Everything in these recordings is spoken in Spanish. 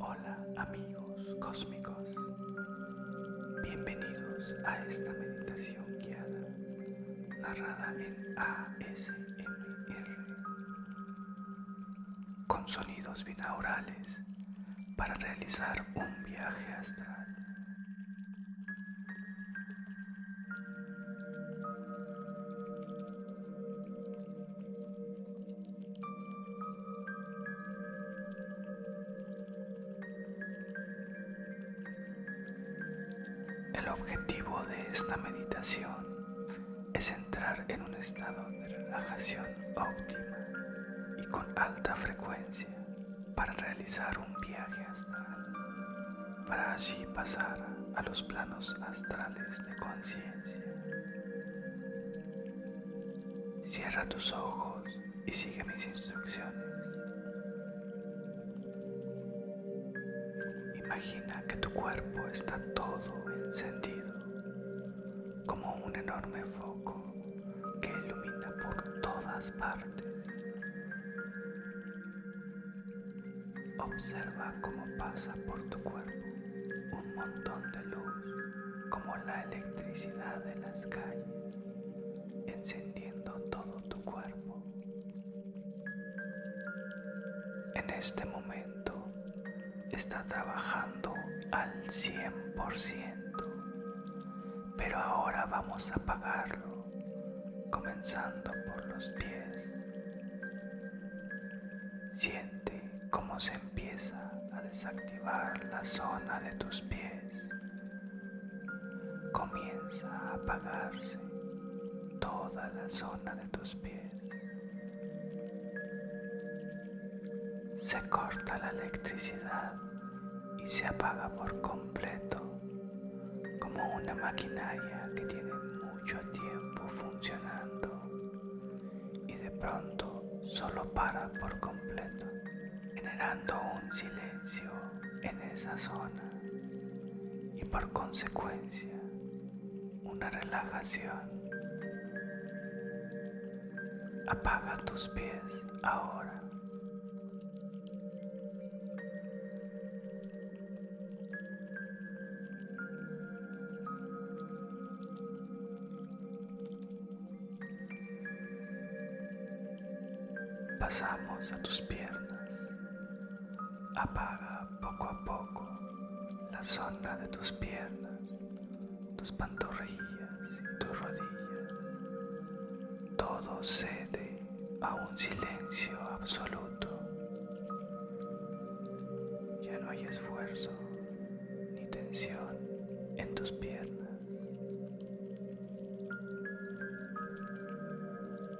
Hola amigos cósmicos, bienvenidos a esta meditación guiada, narrada en ASMR, con sonidos binaurales para realizar un viaje astral. El objetivo de esta meditación es entrar en un estado de relajación óptima y con alta frecuencia para realizar un viaje astral, para así pasar a los planos astrales de conciencia. Cierra tus ojos y sigue mis instrucciones. Imagina que tu cuerpo está todo encendido, como un enorme foco que ilumina por todas partes. Observa cómo pasa por tu cuerpo un montón de luz como la electricidad de las calles, encendiendo todo tu cuerpo. En este momento está trabajando al 100%, pero ahora vamos a apagarlo, comenzando por los pies. Siente como se empieza a desactivar la zona de tus pies. Comienza a apagarse toda la zona de tus pies. Se corta la electricidad y se apaga por completo, como una maquinaria que tiene mucho tiempo funcionando y de pronto solo para por completo, generando un silencio en esa zona y por consecuencia una relajación. Apaga tus pies ahora. Pasamos a tus piernas. Apaga poco a poco la sombra de tus piernas, tus pantorrillas tus rodillas. Todo cede a un silencio absoluto. Ya no hay esfuerzo ni tensión en tus piernas.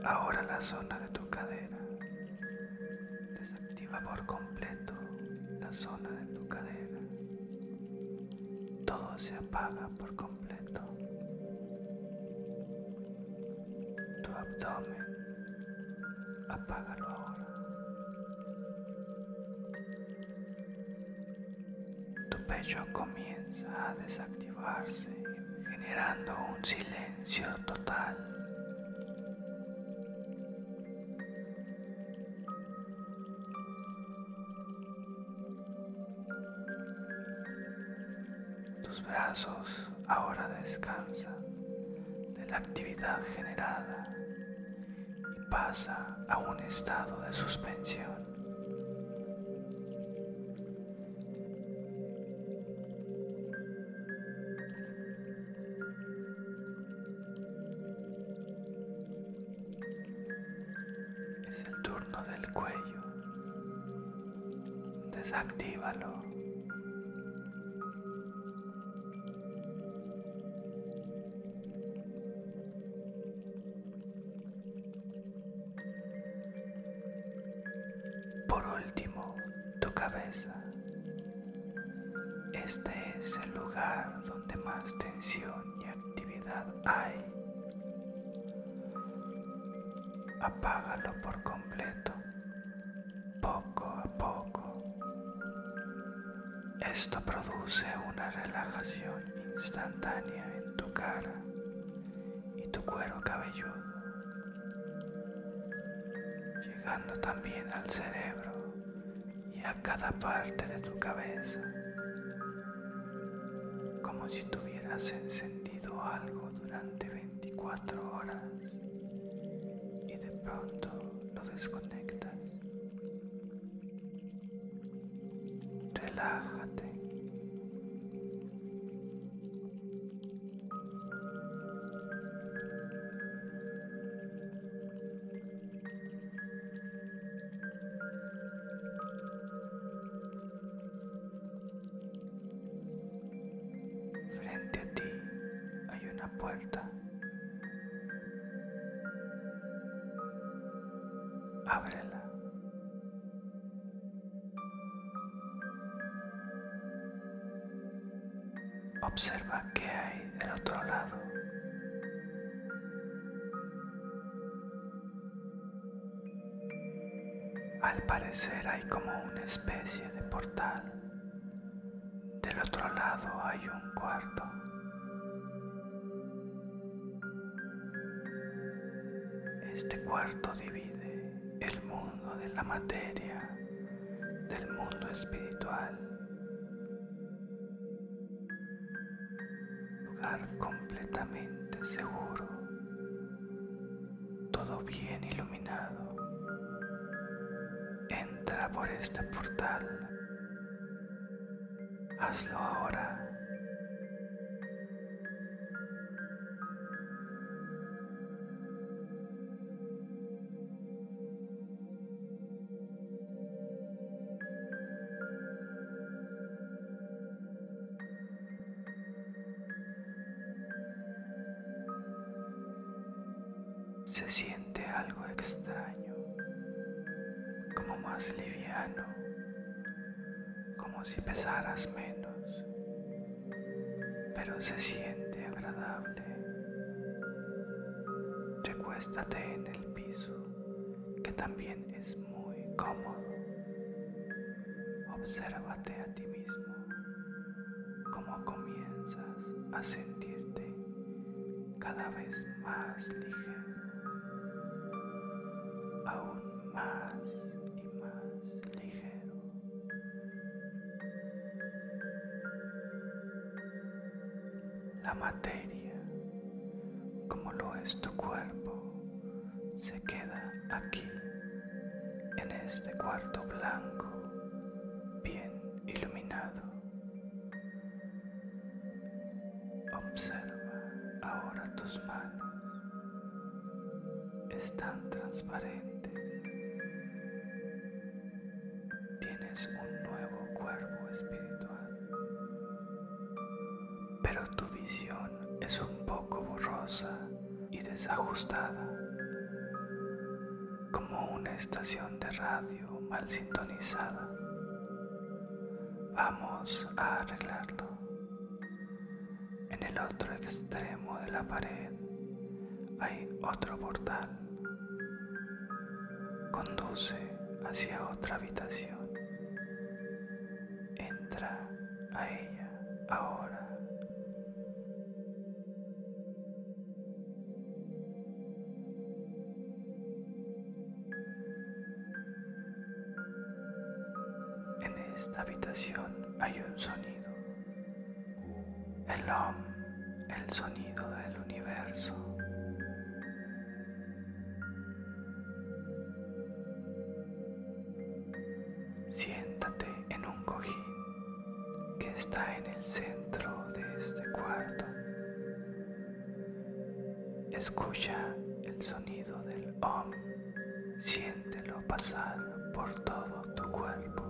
Ahora la zona de tu cadera. Desactiva por completo la zona de tu cadera. Todo se apaga por completo. Tu abdomen Apágalo ahora. Tu pecho comienza a desactivarse, generando un silencio total. Tus brazos ahora descansa de la actividad generada y pasa a un estado de suspensión. Es el turno del cuello. Desactívalo. Por último, tu cabeza. Este es el lugar donde más tensión y actividad hay. Apágalo por completo poco a poco. Esto produce una relajación instantánea en tu cara y tu cuero cabelludo, llegando también al cerebro y a cada parte de tu cabeza, como si tuvieras encendido algo durante 24 horas y de pronto lo desconectas. Relájate. Frente a ti hay una puerta. Ábrela. Observa qué hay del otro lado. Al parecer hay como una especie de portal del otro lado hay un cuarto. Este cuarto divide el mundo de la materia del mundo espiritual. Lugar completamente seguro todo bien iluminado. Entra por este portal. Hazlo ahora. Se siente algo extraño, como más liviano, como si pesaras menos, pero se siente agradable. Recuéstate en el piso, que también es muy cómodo. Obsérvate ti mismo, cómo comienzas a sentirte cada vez más ligero, aún más y más ligero. La materia, como lo es tu cuerpo, se queda aquí en este cuarto blanco bien iluminado. Observa ahora tus manos. Están transparentes. Tienes un nuevo cuerpo espiritual. Pero tu visión es un poco borrosa y desajustada, como una estación de radio mal sintonizada. Vamos a arreglarlo. En el otro extremo de la pared hay otro portal. Conduce hacia otra habitación. Entra a ella ahora. En esta habitación hay un sonido, el OM, el sonido del universo. Siéntate en un cojín que está en el centro de este cuarto. Escucha el sonido del OM, siéntelo pasar por todo tu cuerpo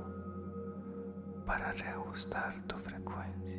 para reajustar tu frecuencia.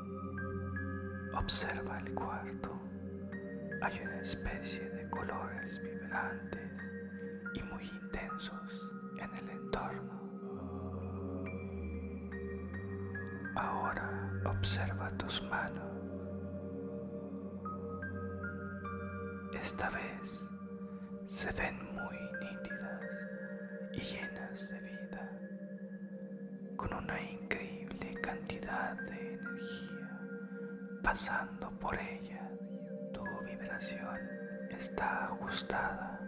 Observa el cuarto. Hay una especie de colores vibrantes y muy intensos en el entorno. Ahora observa tus manos. Esta vez se ven muy nítidas y llenas de vida con una increíble cantidad de energía pasando por ella, Tu vibración está ajustada.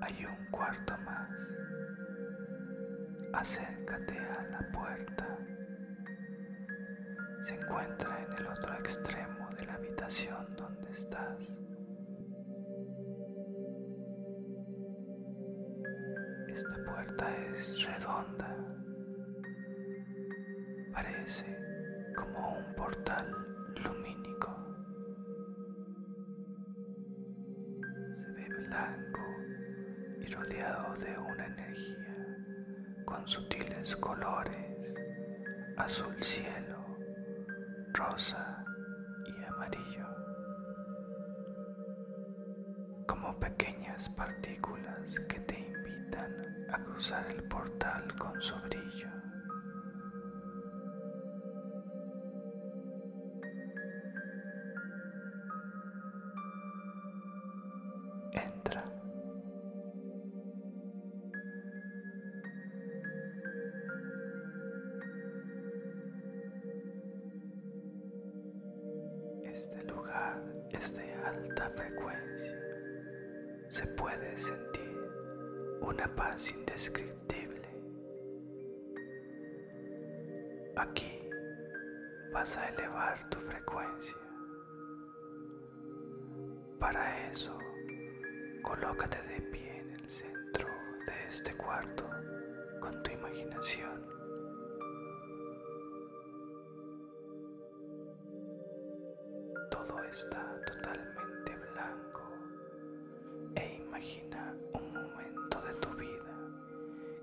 Hay un cuarto más. Acércate a la puerta se encuentra en el otro extremo de la habitación donde estás. Esta puerta es redonda, parece como un portal lumínico. Se ve blanco y rodeado de una energía con sutiles colores, azul cielo, rosa y amarillo. Como pequeñas partículas que te invitan a cruzar el portal con su brillo. Entra. Este lugar es de alta frecuencia. Se puede sentir una paz indescriptible. Aquí vas a elevar tu frecuencia para eso, colócate de pie en el centro de este cuarto con tu imaginación. Todo está totalmente blanco e imagina un momento de tu vida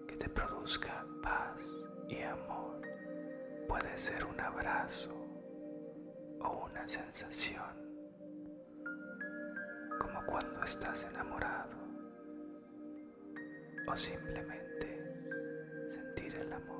que te produzca paz y amor. Puede ser un abrazo o una sensación, como cuando estás enamorado o simplemente sentir el amor.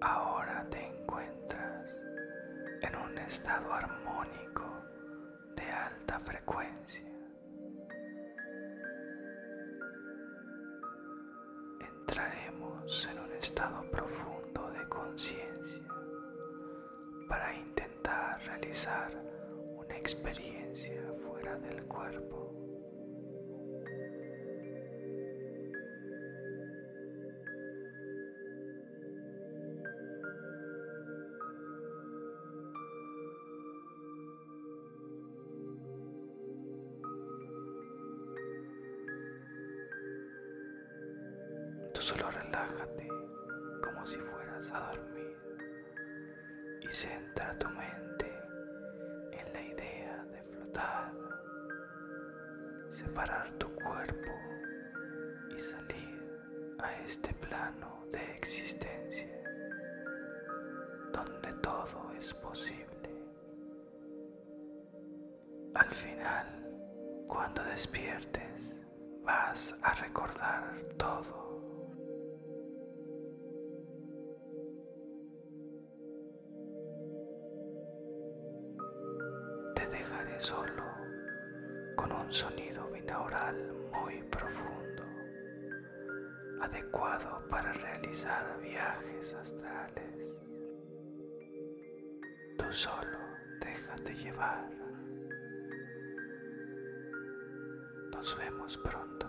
Ahora te encuentras en un estado armónico de alta frecuencia. Entraremos en un estado profundo de conciencia para intentar realizar una experiencia fuera del cuerpo. Tú solo relájate como si fueras a dormir y centra tu mente en la idea de flotar, separar tu cuerpo y salir a este plano de existencia donde todo es posible. Al final, cuando despiertes, vas a recordar todo. Te dejaré solo con un sonido binaural muy profundo, adecuado para realizar viajes astrales. Tú solo déjate llevar. Nos vemos pronto.